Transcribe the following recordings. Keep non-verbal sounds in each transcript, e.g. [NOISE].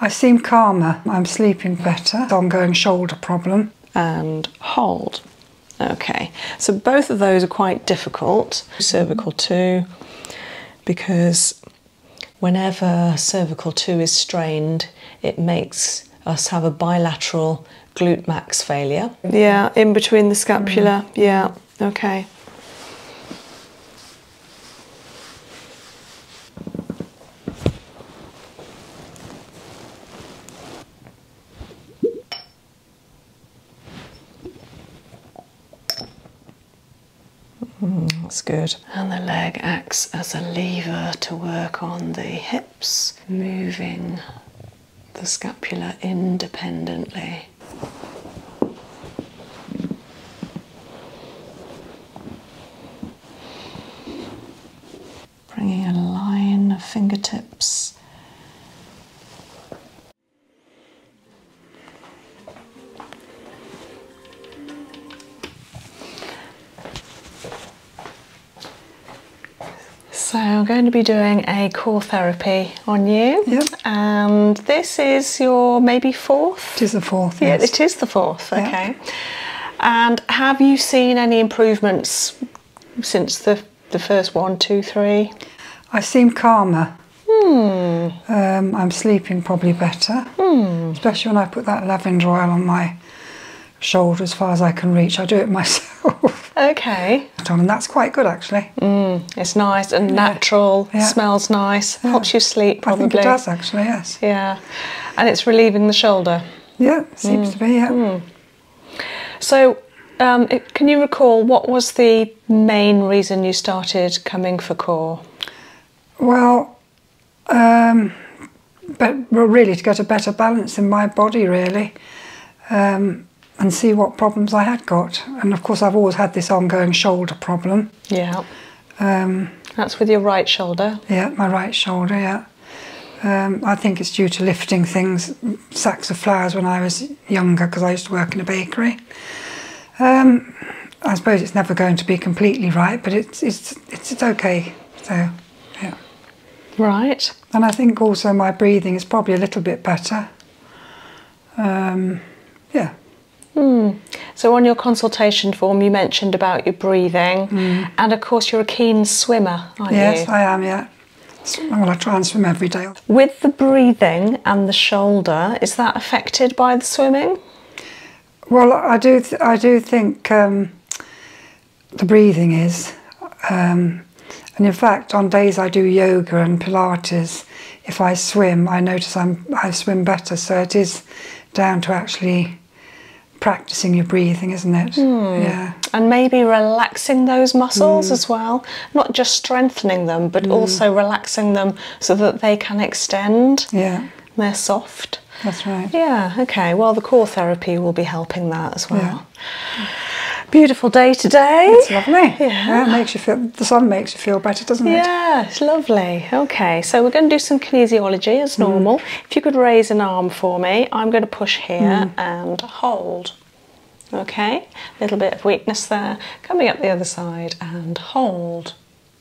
I seem calmer. I'm sleeping better. Ongoing shoulder problem. And hold. Okay, so both of those are quite difficult. Cervical 2, because whenever cervical 2 is strained, it makes us have a bilateral glute max failure. Yeah, in between the scapula. Mm. Yeah, okay. Mm, that's good. And the leg acts as a lever to work on the hips, moving the scapula independently. Bringing a line of fingertips. So I'm going to be doing a core therapy on you. Yep. And this is your maybe fourth? It is the fourth, Yeah, it is the fourth, okay. And have you seen any improvements since the, the first one, two, three? I seem calmer. Hmm. Um, I'm sleeping probably better, hmm. especially when I put that lavender oil on my shoulder as far as I can reach. I do it [LAUGHS] myself. Okay. And that's quite good actually. Mm, it's nice and natural, yeah. smells nice, helps you sleep probably. I think it does actually, yes. Yeah. Uh, and it's relieving the shoulder. Yeah, seems mm. to be, yeah. Mm. So, um, can you recall what was the main reason you started coming for core? Well, um, but really to get a better balance in my body, really, um, and see what problems I had got. And of course, I've always had this ongoing shoulder problem, yeah. Um, That's with your right shoulder. Yeah, my right shoulder. Yeah. Um, I think it's due to lifting things, sacks of flowers when I was younger because I used to work in a bakery. Um, I suppose it's never going to be completely right, but it's it's it's, okay. So, yeah. Right. And I think also my breathing is probably a little bit better. yeah. Hmm. So, on your consultation form, you mentioned about your breathing, hmm. and of course, you're a keen swimmer, aren't yes, you? Yes, I am, yeah. I try every day. With the breathing and the shoulder, is that affected by the swimming? Well, I do, I do think um, the breathing is. Um, and in fact, on days I do yoga and Pilates, if I swim, I notice I swim better. So it is down to actually practicing your breathing, isn't it? Hmm. Yeah. And maybe relaxing those muscles hmm. as well, not just strengthening them, but hmm. also relaxing them so that they can extend. Yeah. They're soft. That's right. Yeah, okay. Well, the core therapy will be helping that as well. Beautiful day today. It's lovely. Yeah. makes you feel the sun makes you feel better, doesn't it? Yeah, it's lovely. Okay, So we're going to do some kinesiology as hmm. normal. If you could raise an arm for me, I'm going to push here hmm. and hold. Okay, a little bit of weakness there. Coming up the other side and hold.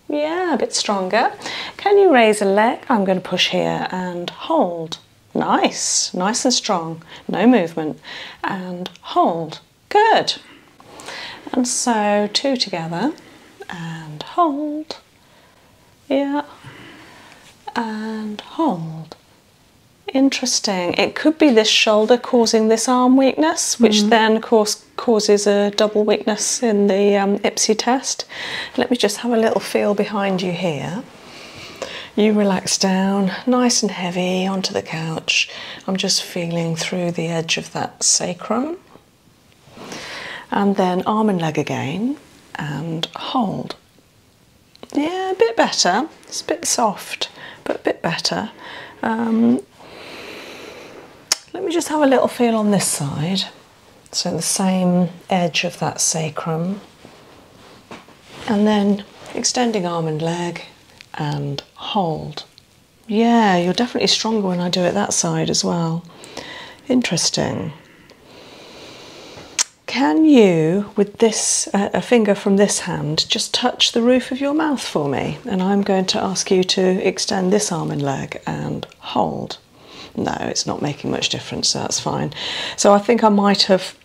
Yeah, a bit stronger. Can you raise a leg? I'm going to push here and hold. Nice, nice and strong. No movement. And hold. Good. And so two together and hold yeah and hold interesting it could be this shoulder causing this arm weakness which mm-hmm. then, of course, causes a double weakness in the um, ipsy test let me just have a little feel behind you here you relax down nice and heavy onto the couch i'm just feeling through the edge of that sacrum and then arm and leg again and hold. Yeah, a bit better. It's a bit soft, but a bit better. Um, let me just have a little feel on this side. So the same edge of that sacrum. And then extending arm and leg and hold. Yeah, you're definitely stronger when I do it that side as well. Interesting. Can you, with this, uh, a finger from this hand, just touch the roof of your mouth for me? And I'm going to ask you to extend this arm and leg and hold. No, it's not making much difference, so that's fine. So I think I might have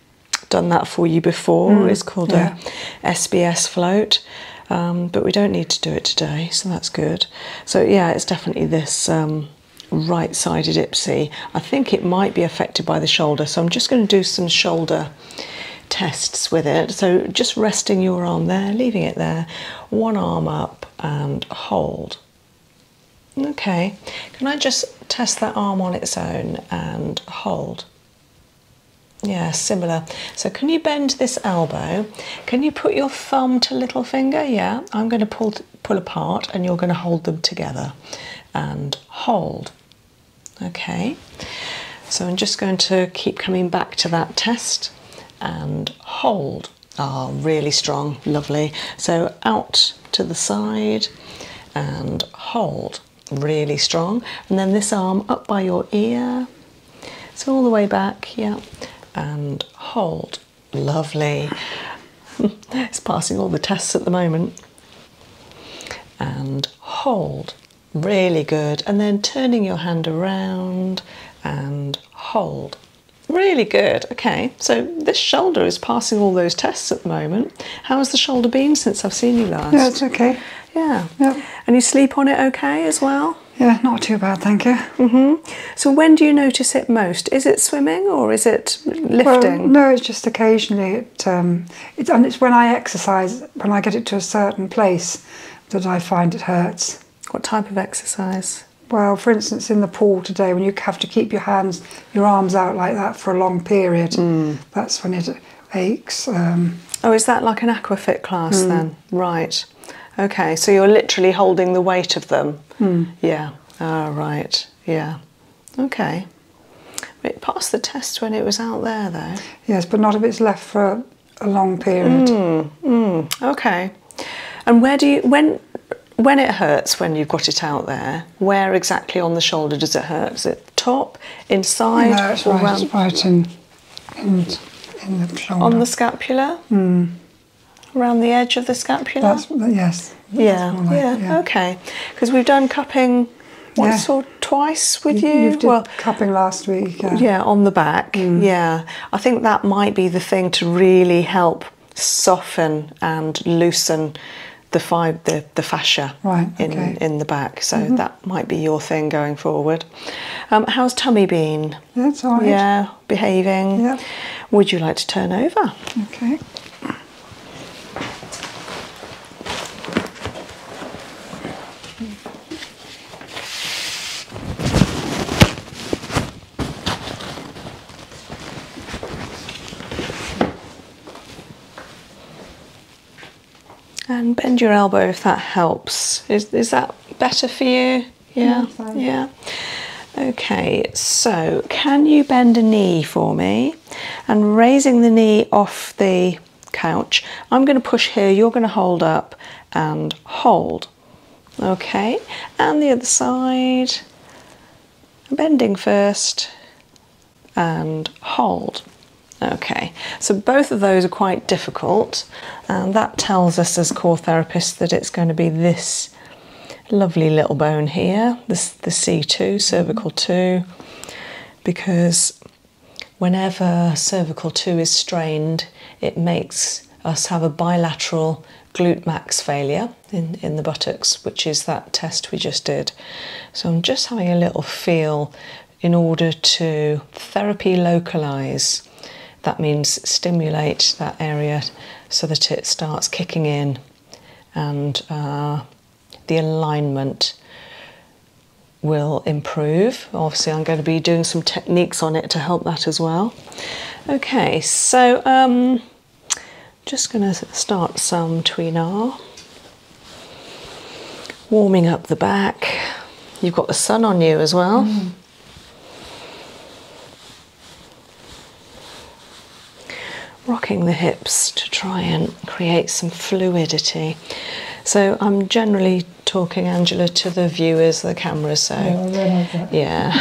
done that for you before. Mm, it's called a SBS float, um, but we don't need to do it today, so that's good. So yeah, it's definitely this um, right-sided ipsy. I think it might be affected by the shoulder, so I'm just going to do some shoulder tests with it. So just resting your arm there, leaving it there, one arm up and hold. Okay, can I just test that arm on its own and hold? Yeah, similar. So can you bend this elbow can you put your thumb to little finger? Yeah, I'm going to pull pull apart and you're going to hold them together and hold. Okay. So I'm just going to keep coming back to that test and hold. Ah, really strong, lovely. So out to the side and hold, really strong. And then this arm up by your ear. So all the way back, yeah, and hold. Lovely. [LAUGHS] it's passing all the tests at the moment. And hold. Really good. And then turning your hand around and hold. Really good. Okay, so this shoulder is passing all those tests at the moment. How has the shoulder been since I've seen you last? Yeah, it's okay. Yeah. Yep. And you sleep on it okay as well? Yeah, not too bad, thank you. Mm-hmm. So when do you notice it most? Is it swimming or is it lifting? no, it's just occasionally. It, um, and it's when I exercise, when I get it to a certain place, that I find it hurts. What type of exercise? Well, for instance, in the pool today, when you have to keep your hands, your arms out like that for a long period, mm. that's when it aches. Um. oh, is that like an aquafit class mm. then? Right. Okay, so you're literally holding the weight of them. Hmm. Yeah. All ah, right. Yeah. Okay. It passed the test when it was out there, though. Yes, but not if it's left for a long period. Hmm, hmm. Okay. And where do you when when it hurts when you've got it out there? Where exactly on the shoulder does it hurt? Is it top, inside, no, it's right, On the scapula around the edge of the scapula? yes. Yeah. yeah. Okay. Because we've done cupping once or twice with you. well, cupping last week. Yeah. on the back. Mm. Yeah. I think that might be the thing to really help soften and loosen the fib- the, the fascia right, in, in the back. So mm-hmm. that might be your thing going forward. Um, how's tummy been? That's all right. Yeah, behaving. Would you like to turn over? Okay. And bend your elbow if that helps. Is, is that better for you? Yeah, yeah. Okay, so can you bend a knee for me? And raising the knee off the couch, I'm going to push here, you're going to hold up and hold. Okay, and the other side, bending first and hold. Okay, so both of those are quite difficult, and that tells us as core therapists that it's going to be this lovely little bone here, the C2, cervical 2, because whenever cervical 2 is strained, it makes us have a bilateral glute max failure in the buttocks, which is that test we just did. So I'm just having a little feel in order to therapy localize that means stimulate that area so that it starts kicking in and uh, the alignment will improve. Obviously, I'm going to be doing some techniques on it to help that as well. Okay, so um, just going to start some tweenar, warming up the back. You've got the sun on you as well. Mm. Rocking the hips to try and create some fluidity. So I'm generally talking, Angela, to the viewers, the camera, so yeah.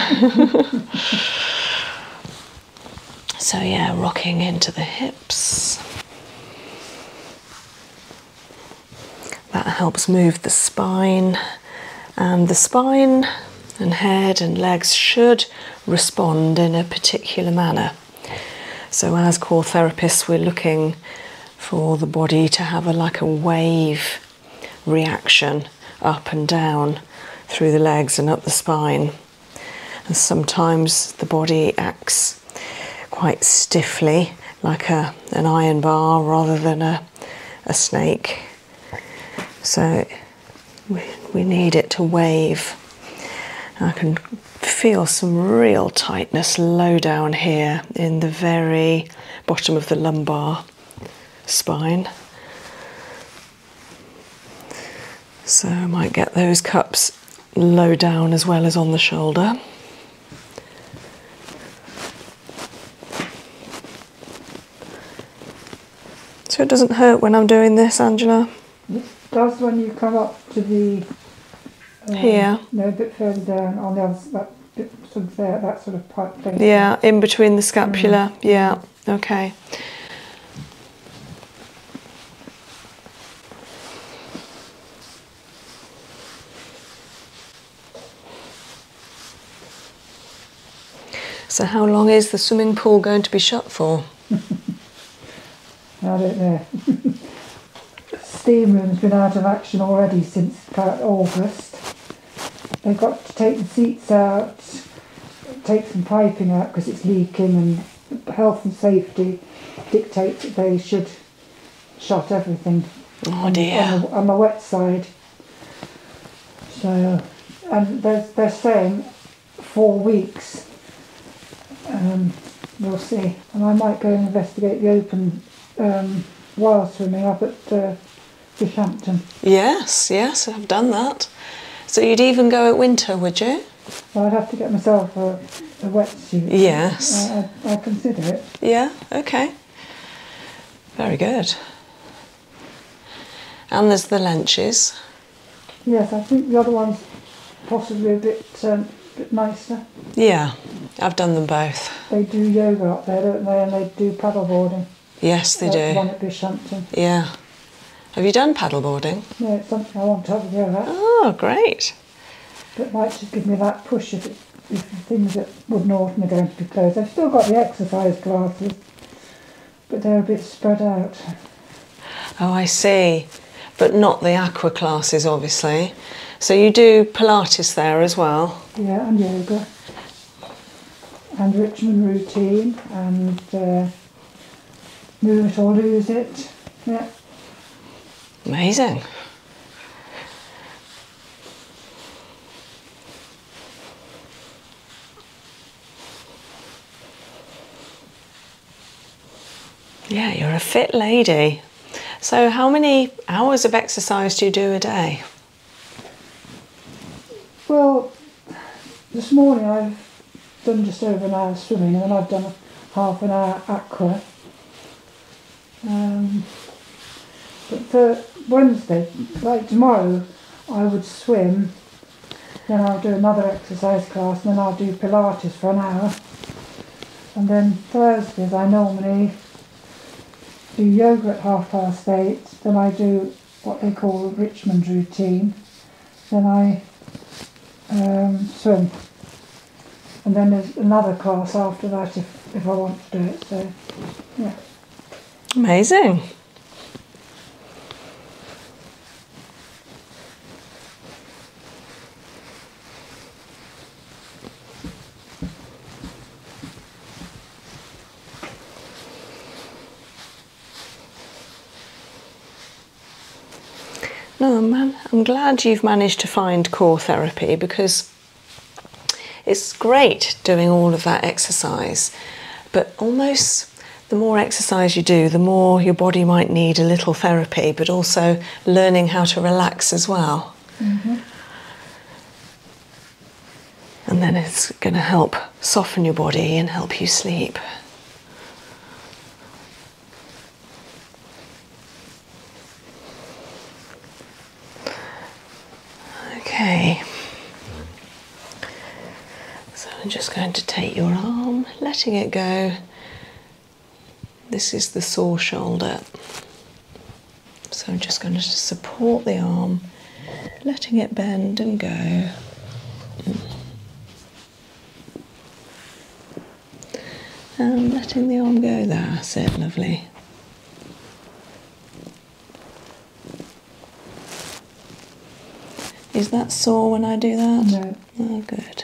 [LAUGHS] so yeah, rocking into the hips that helps move the spine, and the spine and head and legs should respond in a particular manner. So, as core therapists, we're looking for the body to have a like a wave reaction up and down through the legs and up the spine. And sometimes the body acts quite stiffly, like a, an iron bar rather than a, a snake. So we, need it to wave. I can feel some real tightness low down here in the very bottom of the lumbar spine. So I might get those cups low down as well as on the shoulder. So it doesn't hurt when I'm doing this, Angela. It does when you come up to the um, here. No, a bit further down on the other that sort of that sort of pipe thing. Yeah, in between the scapula. Mm-hmm. Yeah. Okay. So, how long is the swimming pool going to be shut for? [LAUGHS] I don't know. [LAUGHS] Steam room's been out of action already since about uh, August. They've got to take the seats out, take some piping out because it's leaking, and health and safety dictate that they should shut everything. Oh dear. on the wet side. So, and they're, they're saying four weeks. Um, we'll see. And I might go and investigate the open um, swimming up at uh, Fishampton. Yes, yes, I've done that. So you'd even go at winter, would you? Well, I'd have to get myself a, a wetsuit. Yes. I consider it. Yeah, okay. Very good. And there's the lunches. Yes, I think the other one's possibly a bit, um, bit nicer. Yeah, I've done them both. They do yoga up there, don't they? And they do paddleboarding. Yes, they That's uh, do. One at Bishampton. Yeah. Have you done paddleboarding? No, it's something I want to have a go at. Oh, great. But it might just give me that push if it things that wouldn't normally going to be closed. I've still got the exercise classes, but they're a bit spread out. Oh, I see. But not the aqua classes, obviously. So you do Pilates there as well? Yeah, and yoga. And Richmond routine, and move it or lose it. Yeah. Amazing. Yeah, you're a fit lady. So, how many hours of exercise do you do a day? Well, this morning I've done just over an hour swimming and then I've done half an hour aqua. Um, but for Wednesday, like tomorrow, I would swim, then I'll do another exercise class, then I'll do Pilates for an hour. And then Thursdays I normally do yoga at half past eight, then I do what they call the Richmond routine, then I um, swim. And then there's another class after that if, if I want to do it, so yeah. Amazing. No, man, I'm glad you've managed to find core therapy because it's great doing all of that exercise, but almost the more exercise you do, the more your body might need a little therapy, but also learning how to relax as well. Mm-hmm. And then it's going to help soften your body and help you sleep. Okay. So I'm just going to take your arm, letting it go. This is the sore shoulder. So I'm just going to support the arm, letting it bend and go. And letting the arm go, there. that's it, lovely. Is that sore when I do that? No. Oh, good.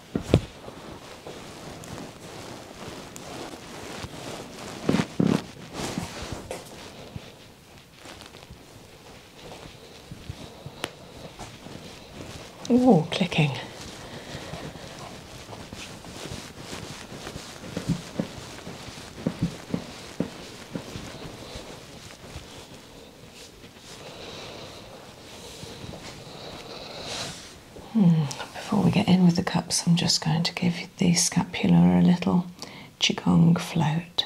Ooh, clicking. Hmm, before we get in with the cups, I'm just going to give the scapula a little qigong float.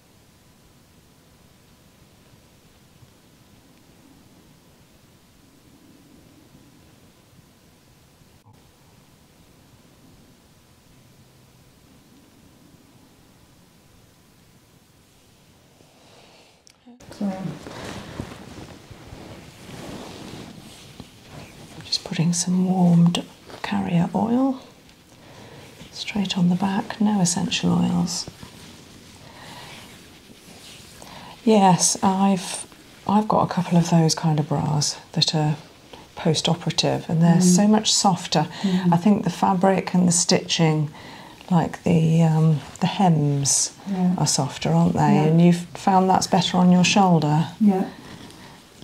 I'm just putting some warmed carrier oil Straight on the back, no essential oils. Yes, I've I've got a couple of those kind of bras that are post-operative and they're mm. so much softer. Mm. I think the fabric and the stitching, like the um, the hems, are softer, aren't they? And you've found that's better on your shoulder. Yeah.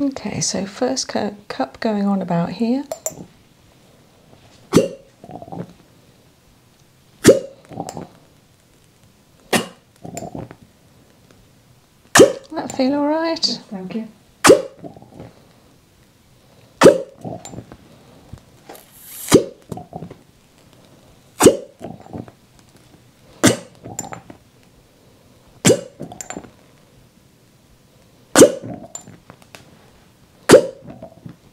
Okay, so first cup going on about here. That feel all right? thank you.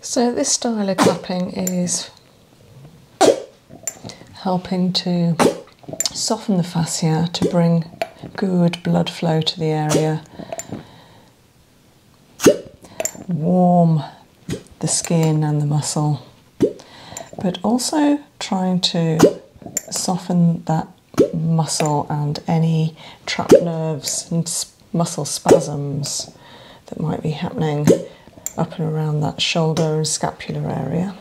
So this style of clapping is helping to soften the fascia to bring good blood flow to the area, warm the skin and the muscle, but also trying to soften that muscle and any trapped nerves and muscle spasms that might be happening up and around that shoulder and scapular area.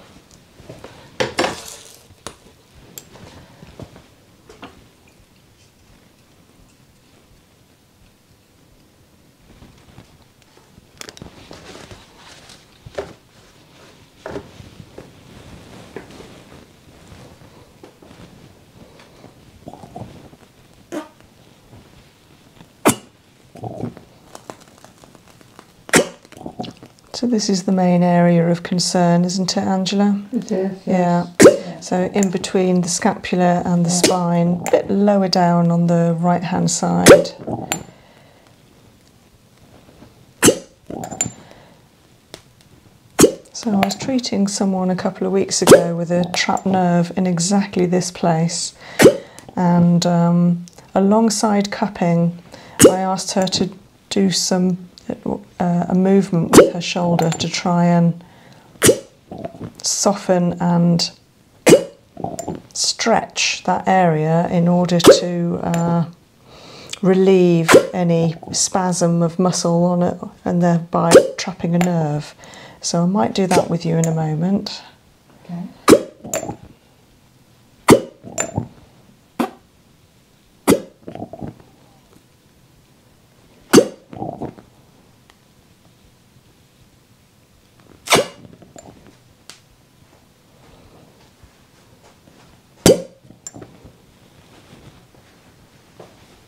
So this is the main area of concern, isn't it, Angela? Yeah. yeah. So in between the scapula and the spine, a bit lower down on the right hand side. So I was treating someone a couple of weeks ago with a trapped nerve in exactly this place and um, alongside cupping I asked her to do some uh, a movement with her shoulder to try and soften and stretch that area in order to uh, relieve any spasm of muscle on it and thereby trapping a nerve. So I might do that with you in a moment.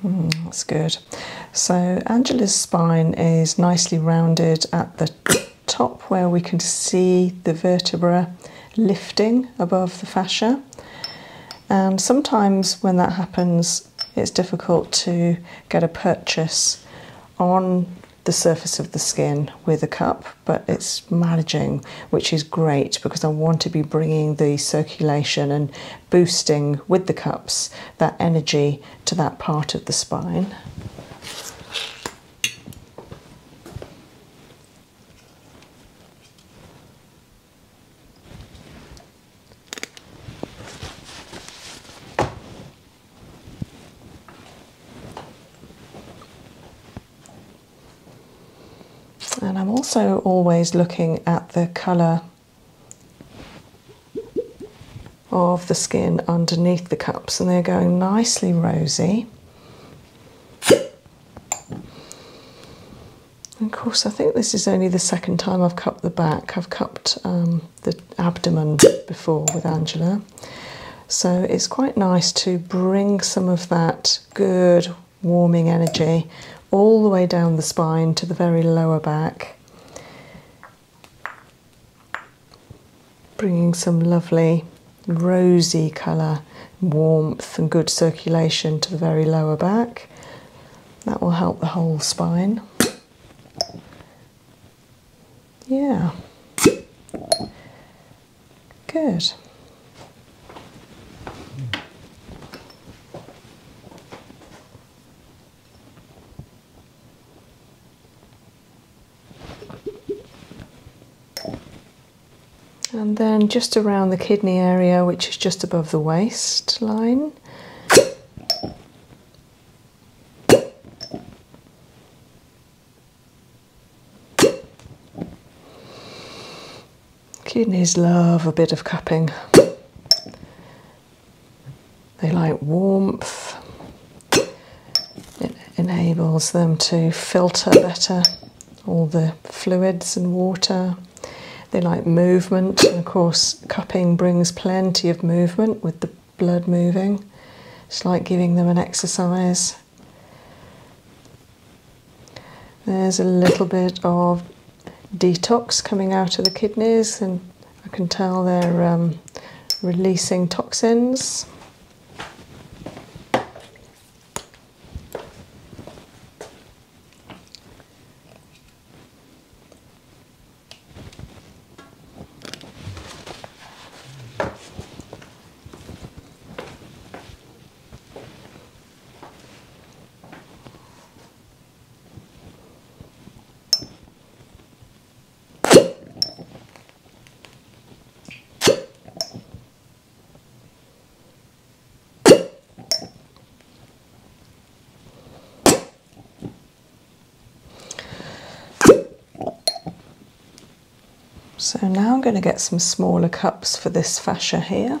Hmm, that's good. So Angela's spine is nicely rounded at the top where we can see the vertebra lifting above the fascia. And sometimes when that happens, it's difficult to get a purchase on the surface of the skin with a cup, but it's managing, which is great because I want to be bringing the circulation and boosting with the cups that energy to that part of the spine. And I'm also always looking at the colour of the skin underneath the cups and they're going nicely rosy. of course, I think this is only the second time I've cupped the back. I've cupped um, the abdomen before with Angela. So it's quite nice to bring some of that good warming energy all the way down the spine to the very lower back. Bringing some lovely rosy colour, warmth, and good circulation to the very lower back. That will help the whole spine. Yeah. Good. And then just around the kidney area, which is just above the waistline. Kidneys love a bit of cupping. They like warmth. It enables them to filter better all the fluids and water. They like movement, of course, cupping brings plenty of movement with the blood moving. It's like giving them an exercise. There's a little bit of detox coming out of the kidneys, and I can tell they're um, releasing toxins. So now I'm going to get some smaller cups for this fascia here.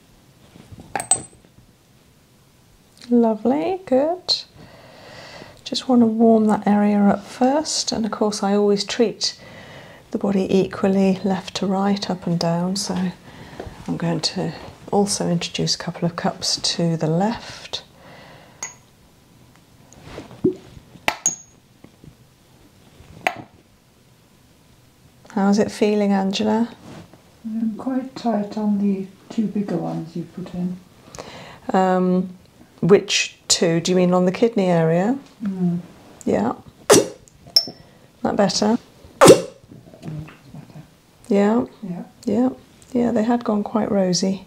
Lovely, good. Just want to warm that area up first. And of course I always treat the body equally left to right, up and down. So I'm going to also introduce a couple of cups to the left. How's it feeling, Angela? I'm mm, quite tight on the two bigger ones you put in. Um, which two? Do you mean on the kidney area? Mm. Yeah. that better? better? Yeah. Yeah. Yeah. Yeah, they had gone quite rosy.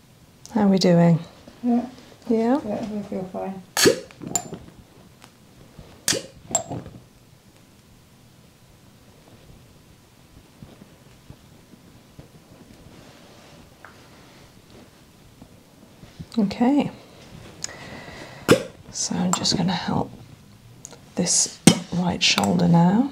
How are we doing? Yeah. Yeah? we feel fine. Okay. So I'm just going to help this right shoulder now.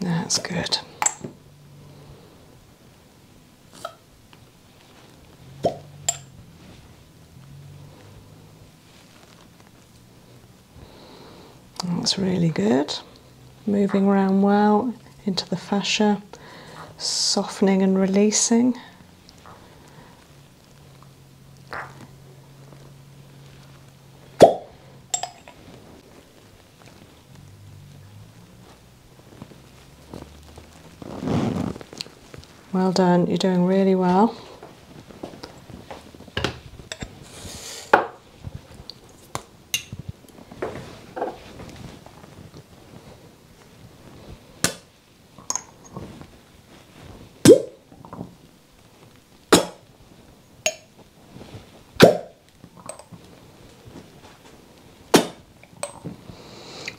That's good. That's really good. Moving around well into the fascia, softening and releasing. Well done, you're doing really well.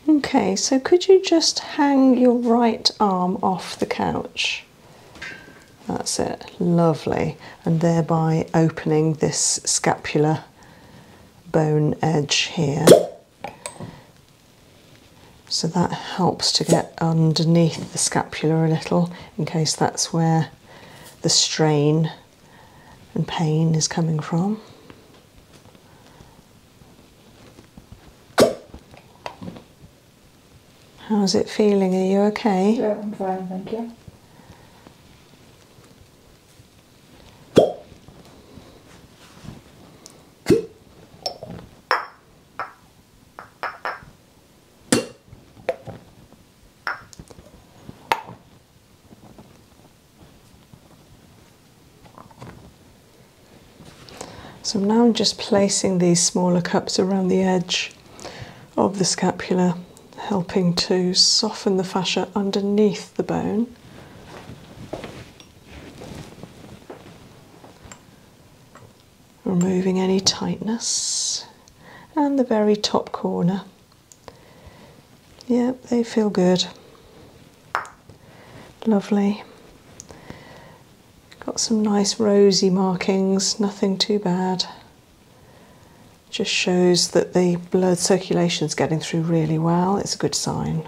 Okay, so could you just hang your right arm off the couch? That's it, lovely. And thereby opening this scapular bone edge here. So that helps to get underneath the scapula a little in case that's where the strain and pain is coming from. How's it feeling? Are you okay? Yeah, I'm fine, thank you. So now I'm just placing these smaller cups around the edge of the scapula, helping to soften the fascia underneath the bone. Removing any tightness and the very top corner. Yep, they feel good. Lovely. Got some nice rosy markings, nothing too bad. Just shows that the blood circulation is getting through really well. It's a good sign.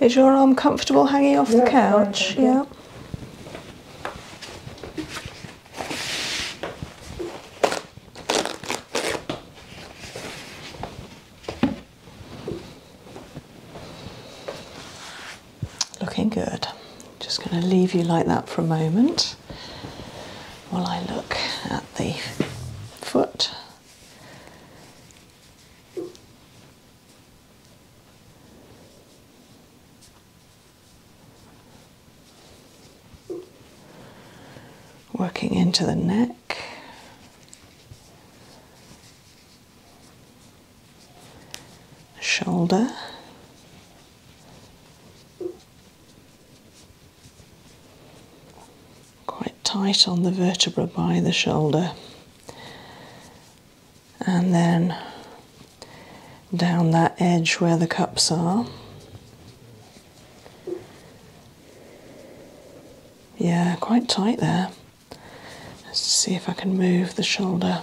Is your arm comfortable hanging off the couch? yeah. Looking good. Just going to leave you like that for a moment while I look at the foot. Working into the neck. Shoulder, quite tight on the vertebra by the shoulder, and then down that edge where the cups are. Yeah, quite tight there. Let's see if I can move the shoulder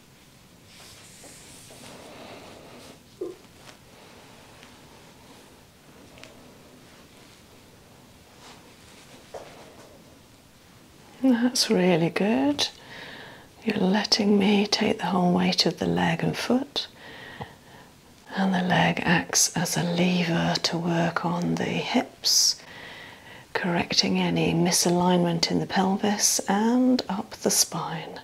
that's really good. You're letting me take the whole weight of the leg and foot, and the leg acts as a lever to work on the hips, correcting any misalignment in the pelvis and up the spine.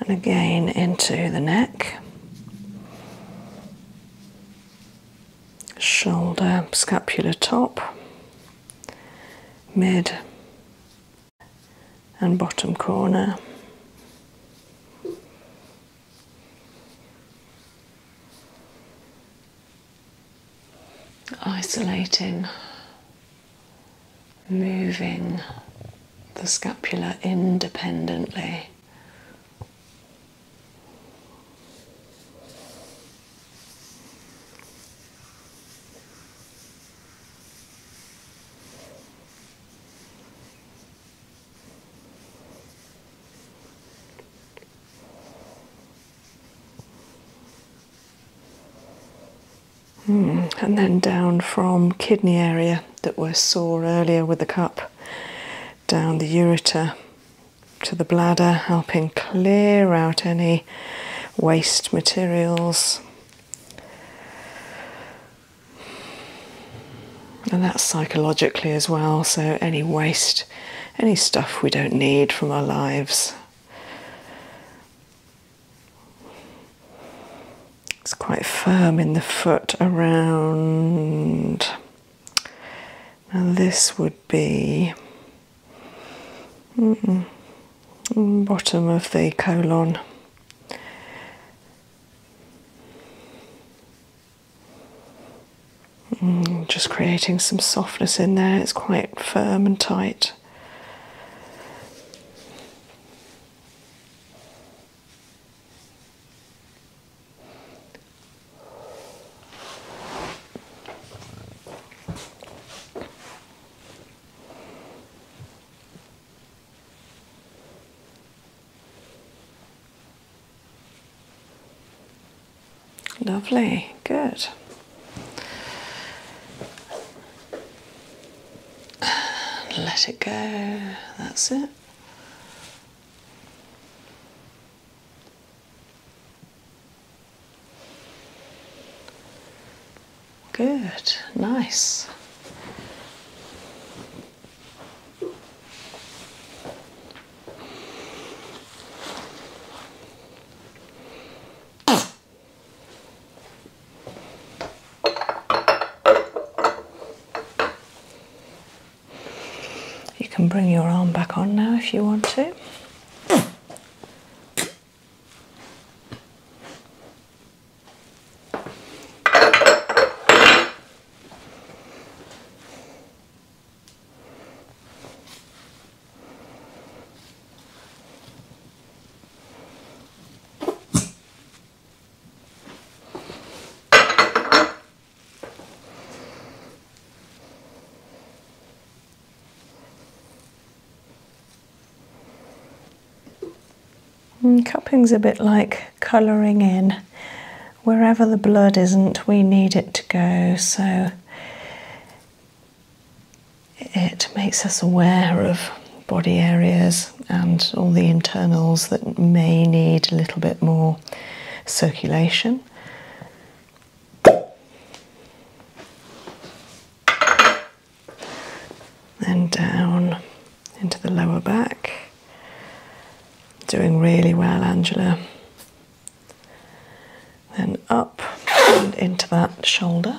and again into the neck, shoulder, scapular top, mid and bottom corner. Isolating moving the scapula independently. Hmm, and then down from kidney area that were sore earlier with the cup, down the ureter to the bladder, helping clear out any waste materials. And that's psychologically as well, so any waste, any stuff we don't need from our lives. It's quite firm in the foot around. Now, this would be bottom of the colon. Mm, just creating some softness in there, it's quite firm and tight. Lovely, good let it go. That's it. Good, nice. You can bring your arm back on now if you want to. Mm, cupping's a bit like colouring in. Wherever the blood isn't, we need it to go. So it makes us aware of body areas and all the internals that may need a little bit more circulation. And down into the lower back. Doing really well, Angela. Then up and into that shoulder.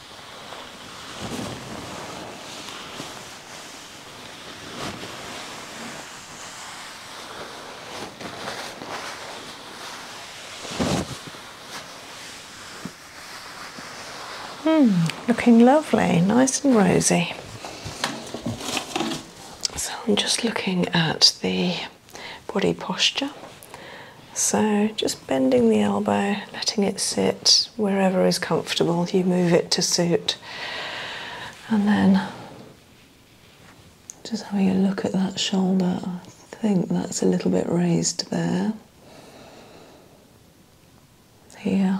Mm, looking lovely, nice and rosy. So I'm just looking at the body posture. So just bending the elbow, letting it sit wherever is comfortable, you move it to suit. And then just having a look at that shoulder, I think that's a little bit raised there. Here.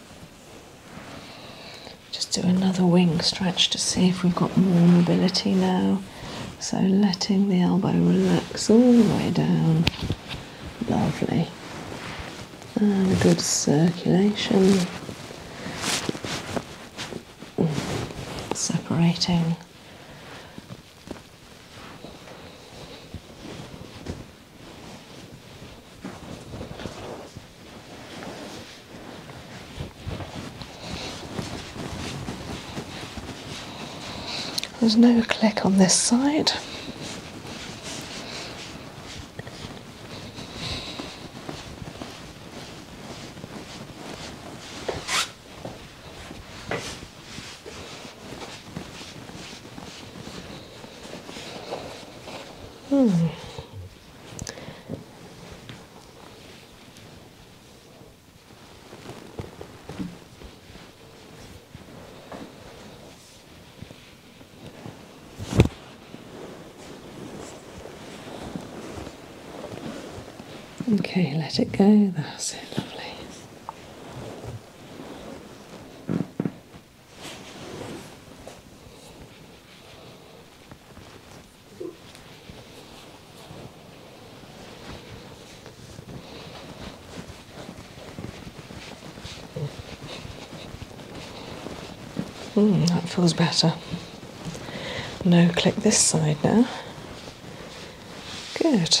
Just do another wing stretch to see if we've got more mobility now. So letting the elbow relax all the way down. Lovely. And good circulation. Separating there's no click on this side. Hmm. Okay, let it go. That's it, lovely. Hmm, that feels better. No, click this side now. Good.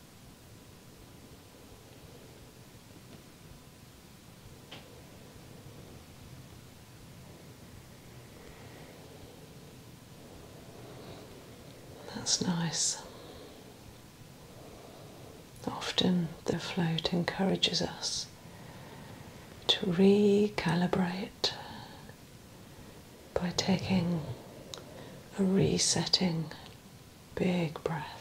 That's nice. Often the float encourages us to recalibrate by taking a resetting Big breath.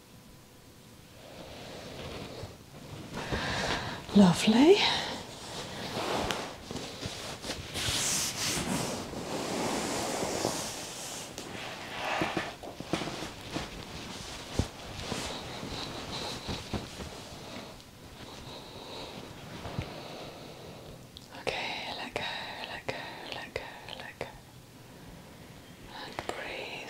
Lovely. Okay, let go, let go, let go, let go. And breathe.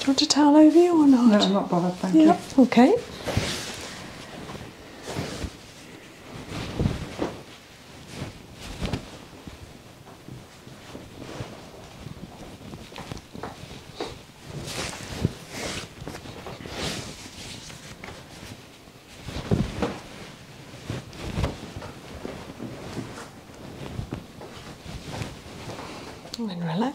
Do you want a towel over you or not? No, I'm not bothered, thank yep. you. Okay. And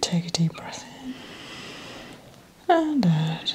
take a deep breath in and out.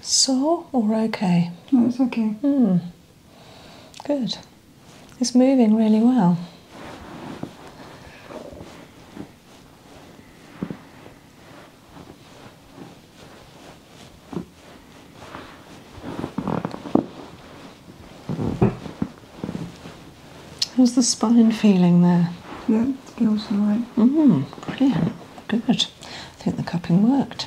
Sore or okay? No, it's okay. Mm. Good. It's moving really well. How's the spine feeling there? Yeah, feels alright. Mm, brilliant. Good. I think the cupping worked.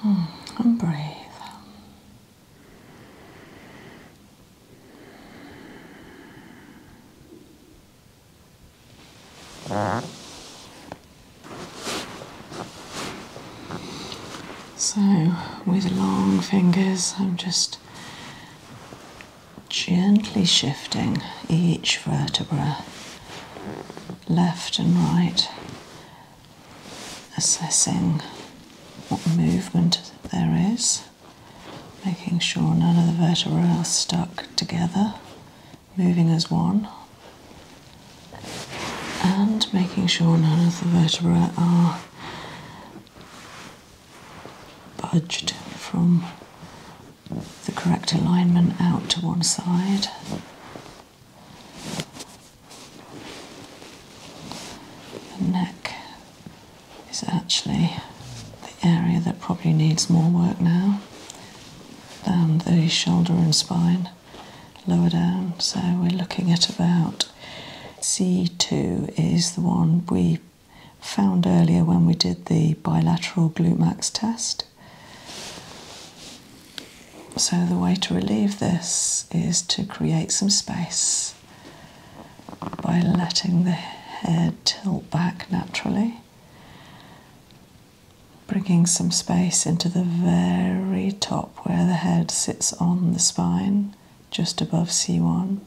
And hmm, breathe. So, with long fingers, I'm just gently shifting each vertebra left and right assessing what movement there is, making sure none of the vertebrae are stuck together, moving as one, and making sure none of the vertebrae are budged from the correct alignment out to one side. The neck is actually the area that probably needs more work now. than the shoulder and spine, lower down. So we're looking at about C2 is the one we found earlier when we did the bilateral glute max test. So, the way to relieve this is to create some space by letting the head tilt back naturally, bringing some space into the very top where the head sits on the spine, just above C1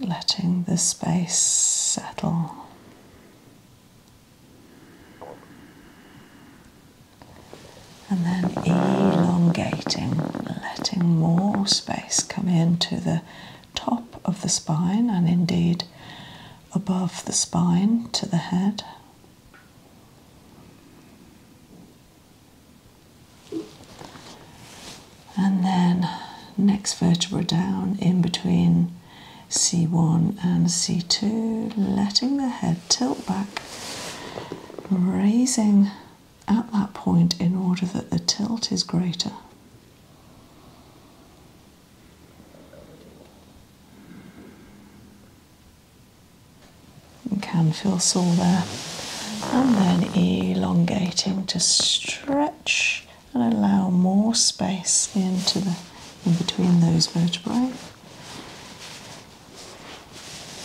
letting the space settle. And then elongating, letting more space come into the top of the spine and indeed above the spine to the head and then next vertebra down in between C1 and C2, letting the head tilt back, raising at that point in order that the tilt is greater. can feel sore there. And then elongating to stretch and allow more space into the in between those vertebrae.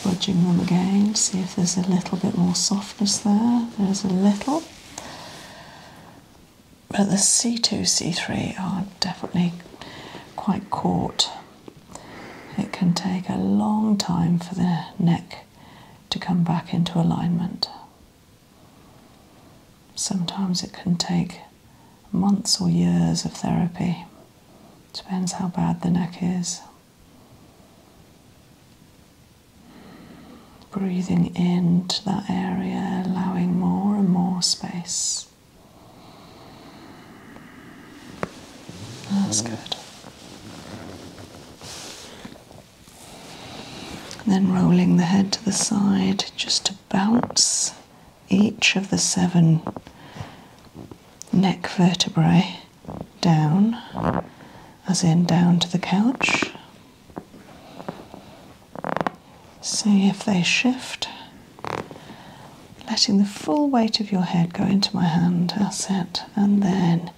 Budging them again, see if there's a little bit more softness there. There's a little. But the C2, C3 are definitely quite caught. It can take a long time for the neck to come back into alignment. Sometimes it can take months or years of therapy, depends how bad the neck is. Breathing into that area, allowing more and more space. That's good then rolling the head to the side just to bounce each of the seven neck vertebrae down, as in down to the couch. See if they shift. Letting the full weight of your head go into my hand, that's it, and then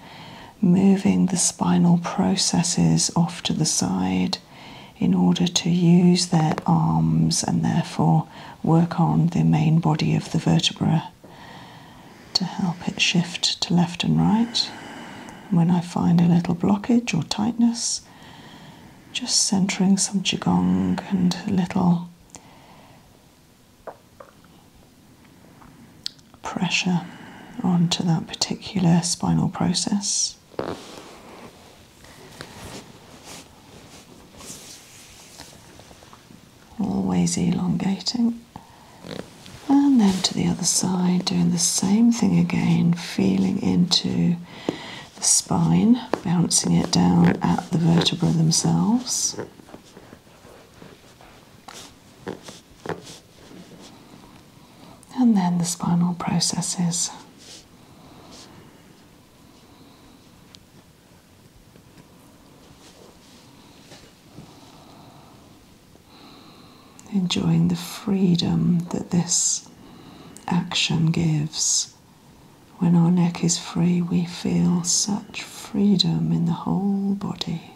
moving the spinal processes off to the side in order to use their arms and therefore work on the main body of the vertebra to help it shift to left and right. When I find a little blockage or tightness, just centering some jigong and a little pressure onto that particular spinal process. Always elongating. And then to the other side, doing the same thing again, feeling into the spine, bouncing it down at the vertebra themselves and then the spinal processes. Enjoying the freedom that this action gives. When our neck is free, we feel such freedom in the whole body.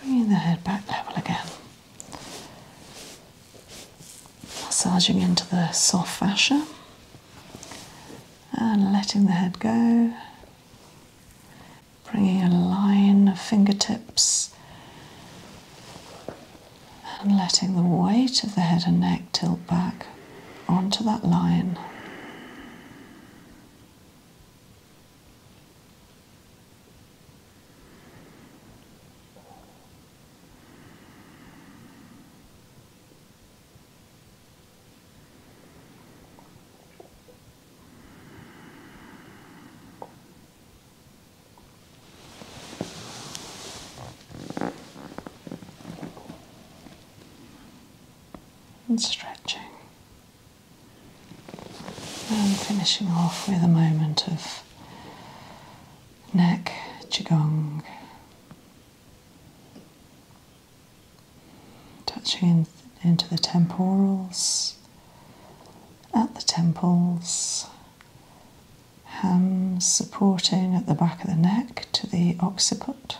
Bringing the head back level again. Massaging into the soft fascia and letting the head go. Bringing a line of fingertips and letting the weight of the head and neck tilt back onto that line and stretching and finishing off with a moment of neck, qigong, touching into the temporals, at the temples, hams supporting at the back of the neck to the occiput.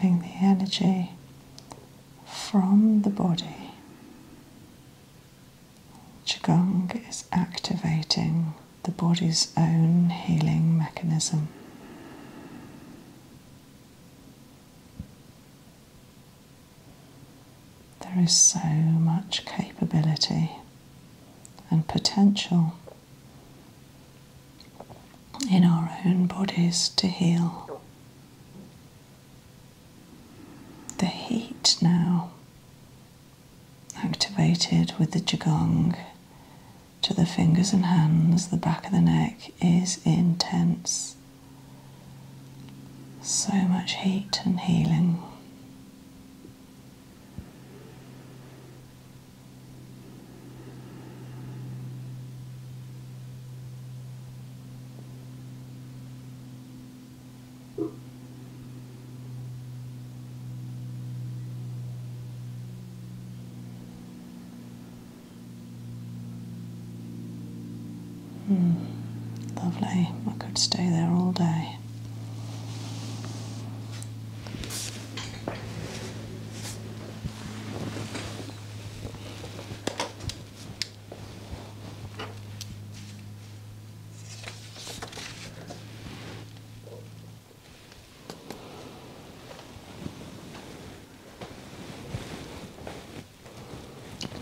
Feeling the energy from the body. Qigong is activating the body's own healing mechanism. There is so much capability and potential in our own bodies to heal. The heat now, activated with the Qigong to the fingers and hands, the back of the neck is intense. So much heat and healing. Hmm. lovely. I could stay there all day.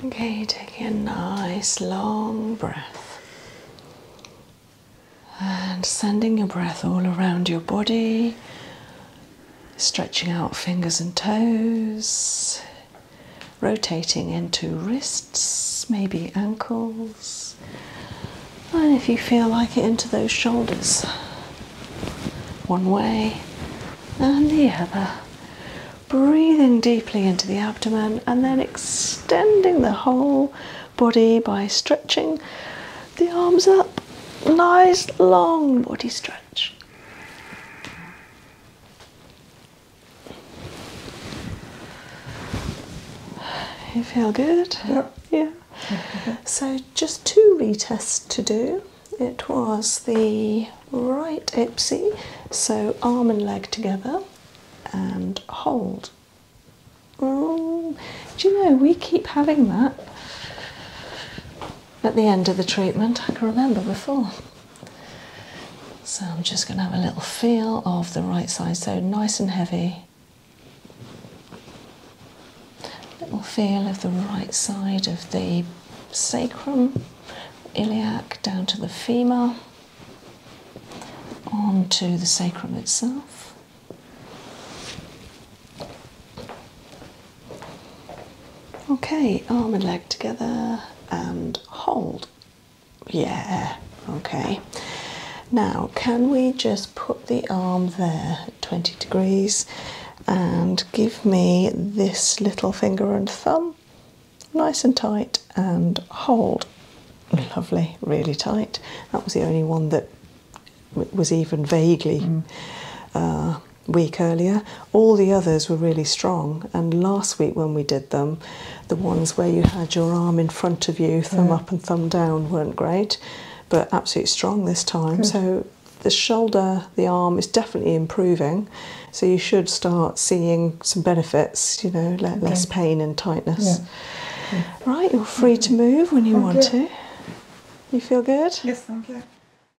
Okay, take a nice long breath and sending your breath all around your body stretching out fingers and toes, rotating into wrists, maybe ankles, and if you feel like it, into those shoulders. One way and the other. Breathing deeply into the abdomen and then extending the whole body by stretching the arms up. Nice long body stretch. You feel good? Yeah. [LAUGHS] so just two retests to do. It was the right ipsy, so arm and leg together and hold. Mm, do you know we keep having that? at the end of the treatment I can remember before. So I'm just going to have a little feel of the right side, so nice and heavy. Little feel of the right side of the sacrum, iliac down to the femur, onto the sacrum itself. Okay, arm and leg together and hold. Yeah, okay. Now, can we just put the arm there 20 degrees and give me this little finger and thumb nice and tight and hold? Lovely, really tight. That was the only one that was even vaguely mm. uh, week earlier. All the others were really strong, and last week when we did them, the ones where you had your arm in front of you, thumb up and thumb down, weren't great, but absolutely strong this time. So the shoulder, the arm is definitely improving. So you should start seeing some benefits, you know, less pain and tightness. Right, you're free to move when you want to. You feel good? Yes, thank you.